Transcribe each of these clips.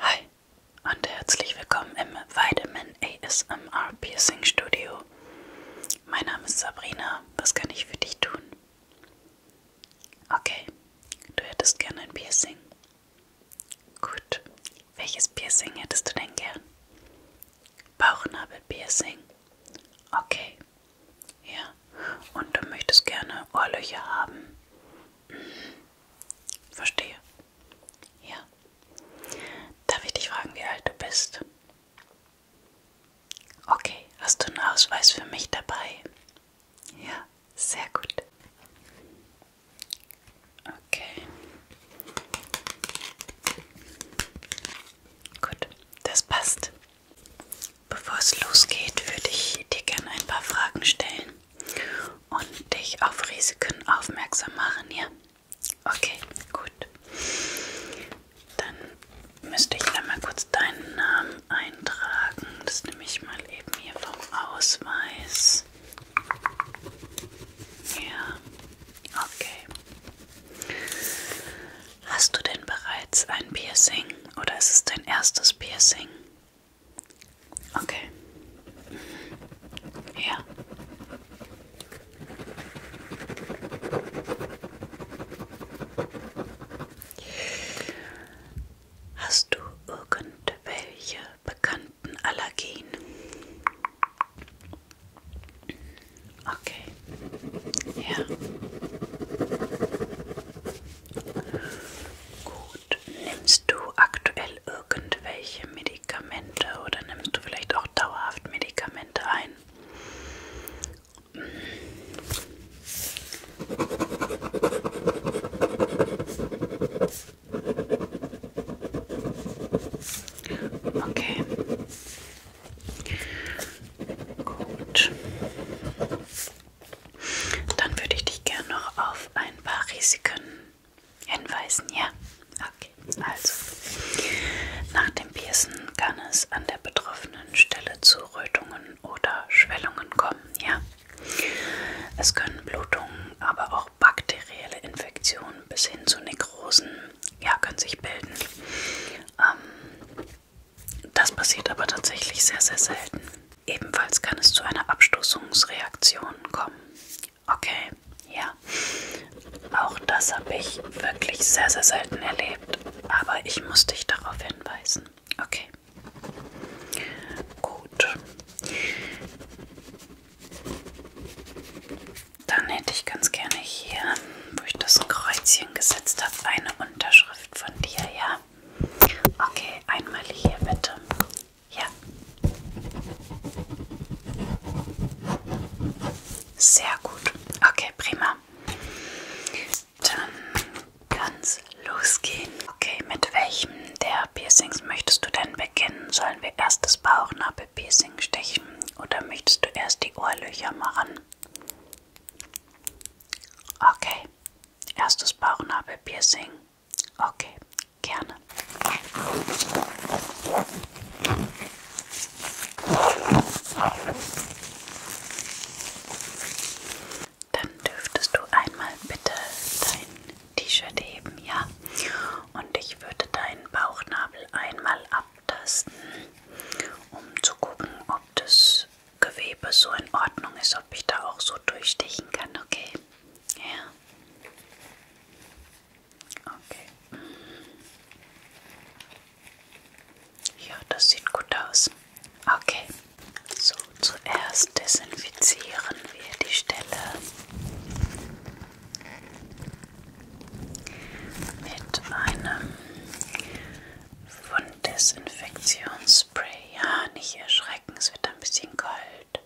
Hi und herzlich willkommen im Vitamin ASMR Piercing Studio. Mein Name ist Sabrina. Was kann ich für dich tun? Okay, du hättest gerne ein Piercing. Gut. Welches Piercing hättest du denn gern? Bauchnabelpiercing. Okay. Ja. Und du möchtest gerne Ohrlöcher haben. Mhm. Verstehe. Ja. Darf ich dich fragen, wie alt du bist? Okay, hast du einen Ausweis für mich dabei? Ja, sehr gut. Okay. Gut, das passt. Bevor es losgeht, würde ich dir gerne ein paar Fragen stellen und dich auf Risiken aufmerksam machen, ja? Okay, gut. Dann müsste ich einmal kurz deinen Namen eintragen. Das nehme ich mal eben hier vom Ausweis. Ja, okay. Hast du denn bereits ein Piercing oder ist es dein erstes Piercing? Okay. Ja. Hast du irgendwelche bekannten Allergien? Okay. Ja. Gut. Nimmst du aktuell irgendwelche Medikamente oder nimmst du vielleicht auch dauerhaft Medikamente ein? Okay. Gut. Dann würde ich dich gerne noch auf ein paar Risiken hinweisen, ja? Okay, also nach dem Piercen kann es an der betroffenen Stelle zu Rötungen oder Schwellungen kommen, ja? Es können Blutungen, aber auch bakterielle Infektionen bis hin zu Nekrosen ja, können sich bilden. Ähm, das passiert aber tatsächlich sehr, sehr selten. Ebenfalls kann es zu einer Abstoßungsreaktion kommen. Okay, ja. Auch das habe ich wirklich sehr, sehr selten erlebt. Aber ich muss dich darauf hinweisen. Okay. Gut. Dann hätte ich ganz gerne hier, wo ich das Kreuzchen gesetzt habe, eine Unterschrift von dir, ja. Okay, einmal hier bitte. Ja. Sehr gut. Okay, prima. Dann kann's losgehen. Okay, mit welchem der Piercings möchtest du denn beginnen? Sollen wir erst das Bauchnabelpiercing stechen oder möchtest du erst die Ohrlöcher machen? Okay. Erstes Bauchnabelpiercing. Okay, gerne. Dann dürftest du einmal bitte dein T-Shirt heben, ja? Und ich würde deinen Bauchnabel einmal abtasten, um zu gucken, ob das Gewebe so in Ordnung ist, ob ich da auch so durchstechen kann, okay? Ja. Okay. Ja, das sieht gut aus. Okay. So, zuerst desinfizieren wir die Stelle mit einem von Desinfektionsspray. Ja, nicht erschrecken, es wird ein bisschen kalt.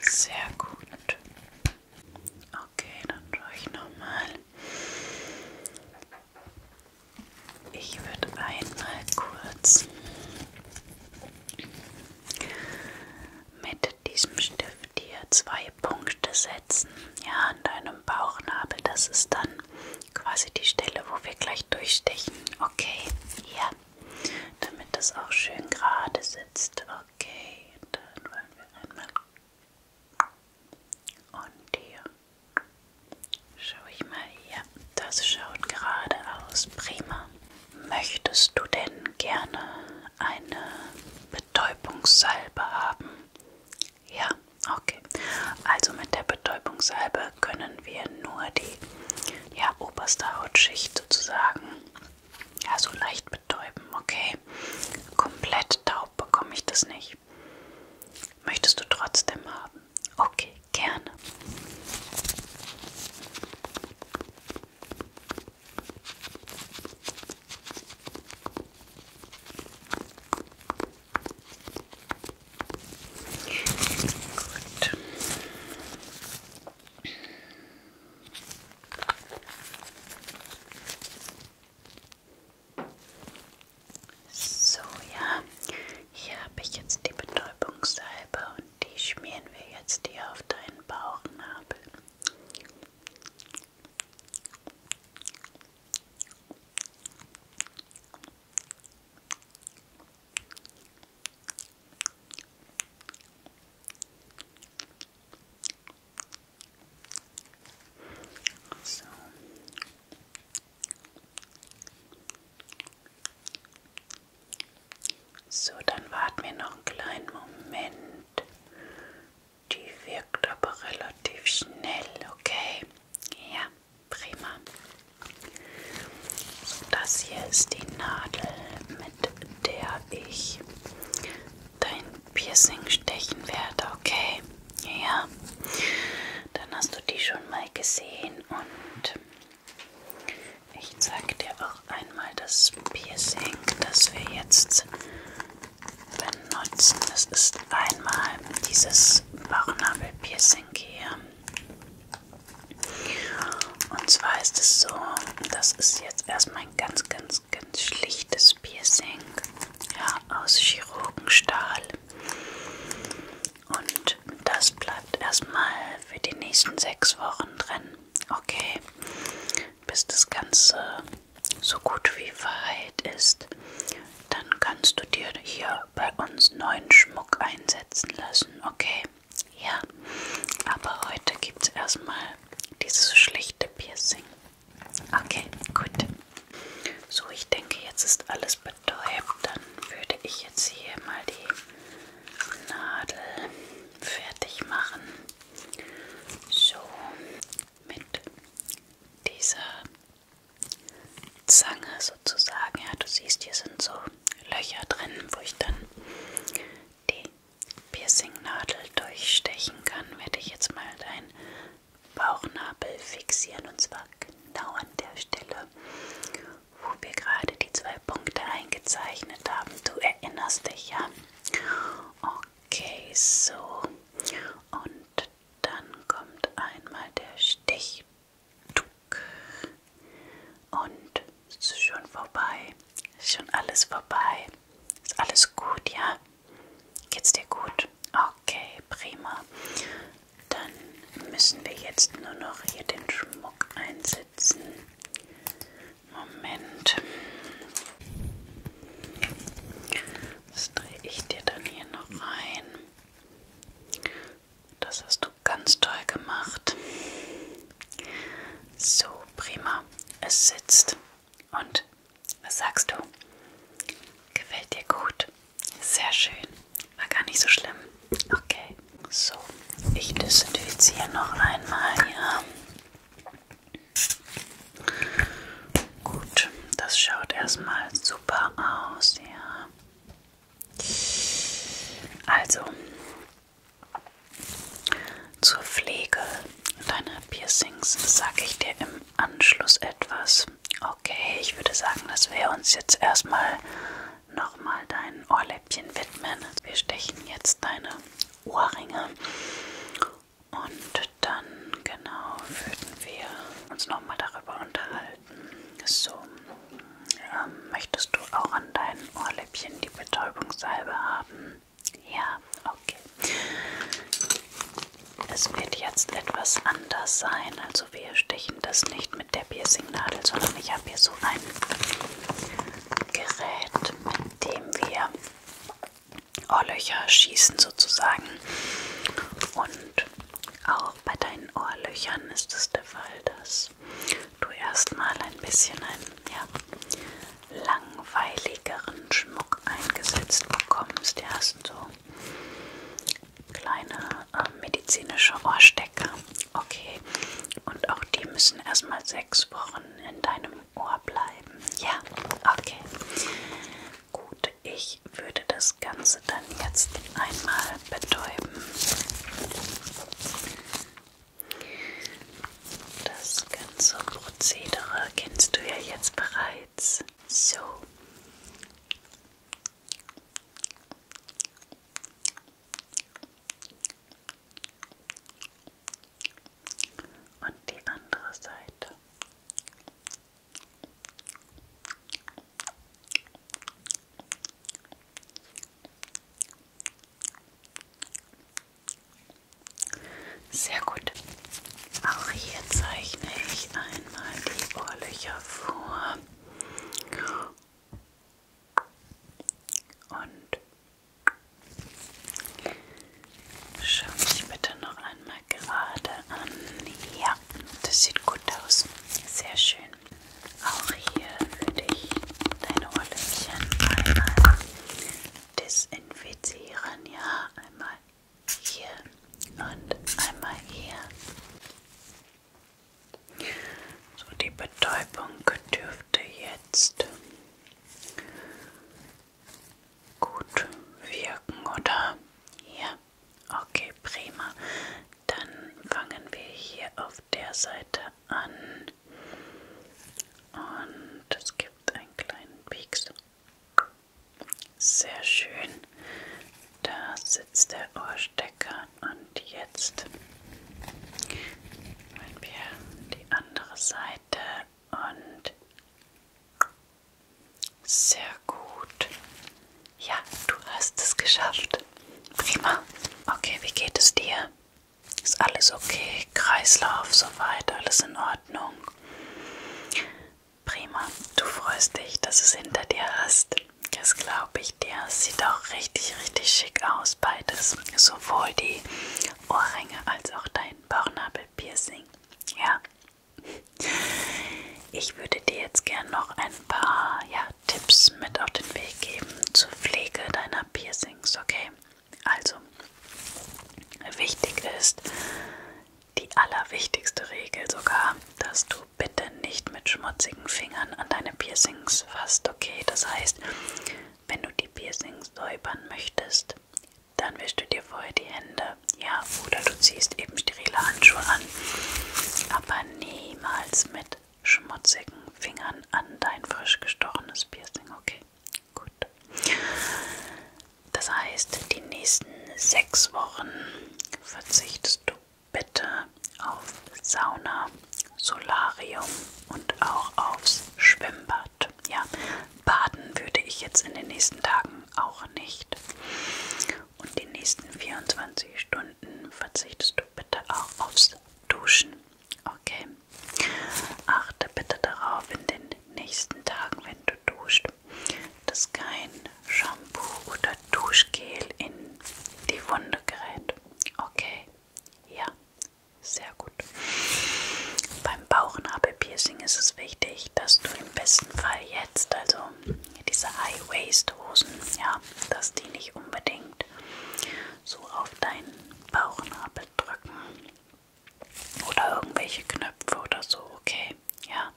Sehr gut. Okay, dann schaue ich nochmal. Ich würde einmal kurz mit diesem Stift hier zwei Punkte setzen setzen, ja, an deinem Bauchnabel. Das ist dann quasi die Stelle, wo wir gleich durchstechen. Okay, ja, damit das auch schön gerade sitzt. Okay, dann wollen wir einmal. Und hier schaue ich mal hier. Das schaut gerade aus. Prima. Möchtest du denn gerne eine Betäubungssalbe haben? Ja, okay. Also mit der Betäubungssalbe können wir nur die ja, oberste Hautschicht sozusagen ja, so leicht betäuben, okay? Komplett taub bekomme ich das nicht. Möchtest du trotzdem haben? Okay, gerne. Gut. So, ja, hier habe ich jetzt die Betäubungssalbe und die schmieren wir jetzt hier auf deinen Bauchnabel. So. So, dann warten wir noch einen kleinen Moment. Die wirkt aber relativ schnell, okay? Ja, prima. So, das hier ist die Nadel, mit der ich dein Piercing stechen werde, okay? Ja, dann hast du die schon mal gesehen und ich zeige dir auch einmal das Piercing, das wir jetzt benutzen. Das ist einmal dieses Bauchnabel-Piercing hier. Und zwar ist es so, das ist jetzt erstmal ein ganz, ganz, ganz schlichtes Piercing ja, aus Chirurgenstahl. Und das bleibt erstmal für die nächsten sechs Wochen drin. Okay, bis das Ganze so gut wie verheilt ist. Dann kannst du dir hier bei uns neuen Schmuck einsetzen lassen, okay? Ja, aber heute gibt es erstmal dieses schlichte Piercing. Okay, gut. So, ich denke, jetzt ist alles betäubt. Dann würde ich jetzt hier mal die Nadel fertig machen. So, mit dieser Zange sozusagen, ja, du siehst, hier sind so Löcher drin, wo ich dann die Piercingnadel durchstechen kann, werde ich jetzt mal deinen Bauchnabel fixieren und zwar genau an der Stelle, wo wir gerade die zwei Punkte eingezeichnet haben. Du erinnerst dich ja. Okay, so. Und dann kommt einmal der Stich. Und es ist schon vorbei. Es ist schon alles vorbei. Ist alles gut, ja? Geht's dir gut? Okay, prima. Dann müssen wir jetzt nur noch hier den Schmuck einsetzen. Moment. Das drehe ich dir dann hier noch rein. Das hast du ganz toll gemacht. So, prima. Es sitzt. Und was sagst du? Gefällt dir gut? Sehr schön. War gar nicht so schlimm. Okay. So, ich desinfiziere noch einmal hier. Gut, das schaut erstmal super aus, ja. Also, zur Pflege deiner Piercings sage ich dir im Anschluss etwas. Okay, ich würde sagen, dass wir uns jetzt erstmal nochmal deinen Ohrläppchen widmen. Wir stechen jetzt deine Ohrringe und dann genau würden wir uns nochmal darüber unterhalten. So, ähm, möchtest du auch an deinen Ohrläppchen die Betäubungssalbe haben? Ja, okay. Es wird jetzt etwas anders sein. Also wir stechen das nicht mit der Piercing-Nadel, sondern ich habe hier so einen Gerät, mit dem wir Ohrlöcher schießen sozusagen. Und auch bei deinen Ohrlöchern ist es der Fall, dass du erstmal ein bisschen einen ja, langweiligeren Schmuck eingesetzt bekommst. Du hast so kleine äh, medizinische Ohrstecker Okay. Und auch die müssen erstmal sechs Wochen in deinem Ohr bleiben. Ja, okay. Gut, ich würde das Ganze dann jetzt einmal betäuben. Das ganze Prozedere kennst du ja jetzt bereits. So. Und die andere Seite. Sehr gut. Auch hier zeichne ich einmal die Ohrlöcher vor und schau mich bitte noch einmal gerade an. Ja, das sieht gut aus. Sehr schön. Auch hier würde ich deine Ohrläppchen einmal desinfizieren. Ja, einmal hier und einmal hier. So, die Betäubung dürfte jetzt gut wirken, oder? Ja, okay, prima. Dann fangen wir hier auf der Seite an. Und es gibt einen kleinen Pieks. Sehr schön. Da sitzt der Ohrstecker und jetzt wollen wir die andere Seite und sehr gut. Ja, du hast es geschafft. Prima. Okay, wie geht es dir? Ist alles okay? Kreislauf soweit, alles in Ordnung. Prima. Du freust dich, dass du es hinter dir hast. Das glaube ich dir. Das sieht auch richtig, richtig schick aus, beides. Sowohl die Ohrringe als auch dein Bauchnabelpiercing. Ja. Ich würde dir jetzt gern noch ein paar ja, Tipps mit auf den Weg geben zur Pflege deiner Piercings, okay? Also, wichtig ist die allerwichtigste Regel sogar, dass du bitte nicht mit schmutzigen Fingern an deine Piercings fasst, okay? Das heißt, wenn du die Piercings säubern möchtest, dann wischst du dir vorher die Hände, ja, oder du ziehst eben sterile Handschuhe an, aber niemals mit schmutzigen Fingern an dein frisch gestochenes Piercing, okay? Gut. Das heißt, die nächsten sechs Wochen verzichtest du bitte auf Sauna, Solarium und auch aufs Schwimmbad. Ja, baden würde ich jetzt in den nächsten Tagen auch nicht. Und die nächsten 24 Stunden verzichtest du bitte auch aufs Duschen. Okay. Achte bitte darauf in den nächsten Tagen, wenn du duscht, dass kein Shampoo oder Duschgel in die Wunde gerät. Okay, ja, sehr gut. Beim Bauchnabelpiercing ist es wichtig, dass du im besten Fall jetzt, also diese High-Waist-Hosen, ja, dass die nicht unbedingt so auf deinen Bauchnabel drücken oder irgendwelche Knöpfe oder so, okay, ja.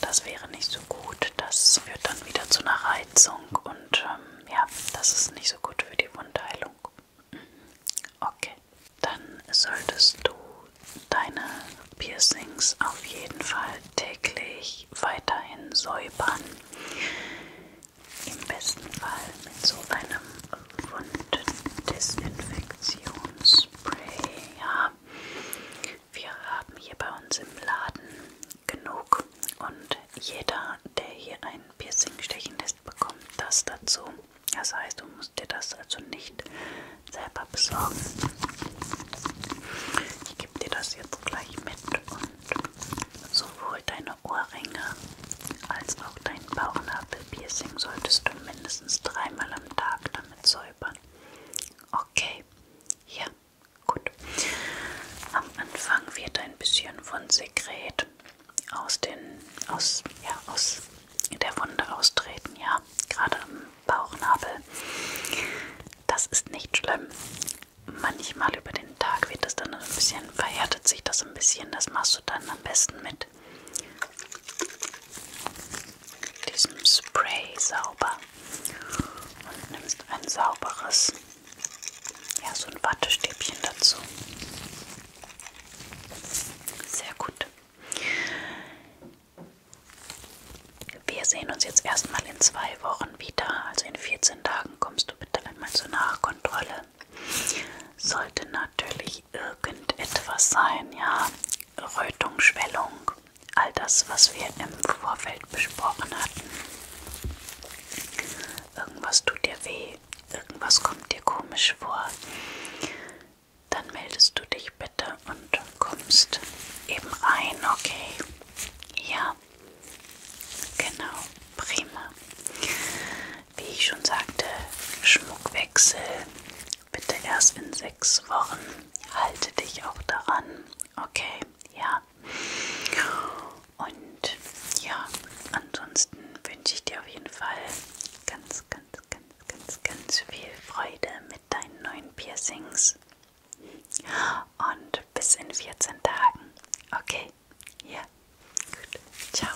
Das wäre nicht so gut. Das führt dann wieder zu einer Reizung und ähm, ja, das ist nicht so gut für die Wundheilung. Okay, dann solltest du deine Piercings auf jeden Fall täglich weiterhin säubern. Im besten Fall mit so einem Wunddesinfektionsspray. Ja, wir haben hier bei uns im Laden genug und jeder, der hier ein Piercing stechen lässt, bekommt das dazu. Das heißt, du musst dir das also nicht selber besorgen. Ich gebe dir das jetzt gleich mit und sowohl deine Ohrringe als auch dein Bauchnabelpiercing solltest du mindestens dreimal am Tag damit säubern. Okay, dabei? Ja, gut. Am Anfang wird ein bisschen von Sekret aus den aus ja aus der Wunde austreten, ja, gerade am Bauchnabel. Das ist nicht schlimm. Manchmal über den Tag wird das dann ein bisschen verhärtet sich das ein bisschen. Das machst du dann am besten mit mit diesem Spray sauber und nimmst ein sauberes, ja, so ein Wattestäbchen dazu. Sehr gut. Wir sehen uns jetzt erstmal in zwei Wochen wieder. Also in 14 Tagen kommst du bitte einmal zur Nachkontrolle. Sollte natürlich irgendetwas sein, ja. Rötung, Schwellung, all das, was wir im Vorfeld besprochen hatten. Irgendwas tut dir weh, irgendwas kommt dir komisch vor. Dann meldest du dich bitte und kommst eben rein, okay? Ja, genau, prima. Wie ich schon sagte, Schmuckwechsel Bitte erst in sechs Wochen. Halte dich auch daran. Okay, ja. Und ja, ansonsten wünsche ich dir auf jeden Fall ganz, ganz, ganz, ganz, ganz viel Freude mit deinen neuen Piercings. Und bis in 14 Tagen. Okay, ja. Gut. Ciao.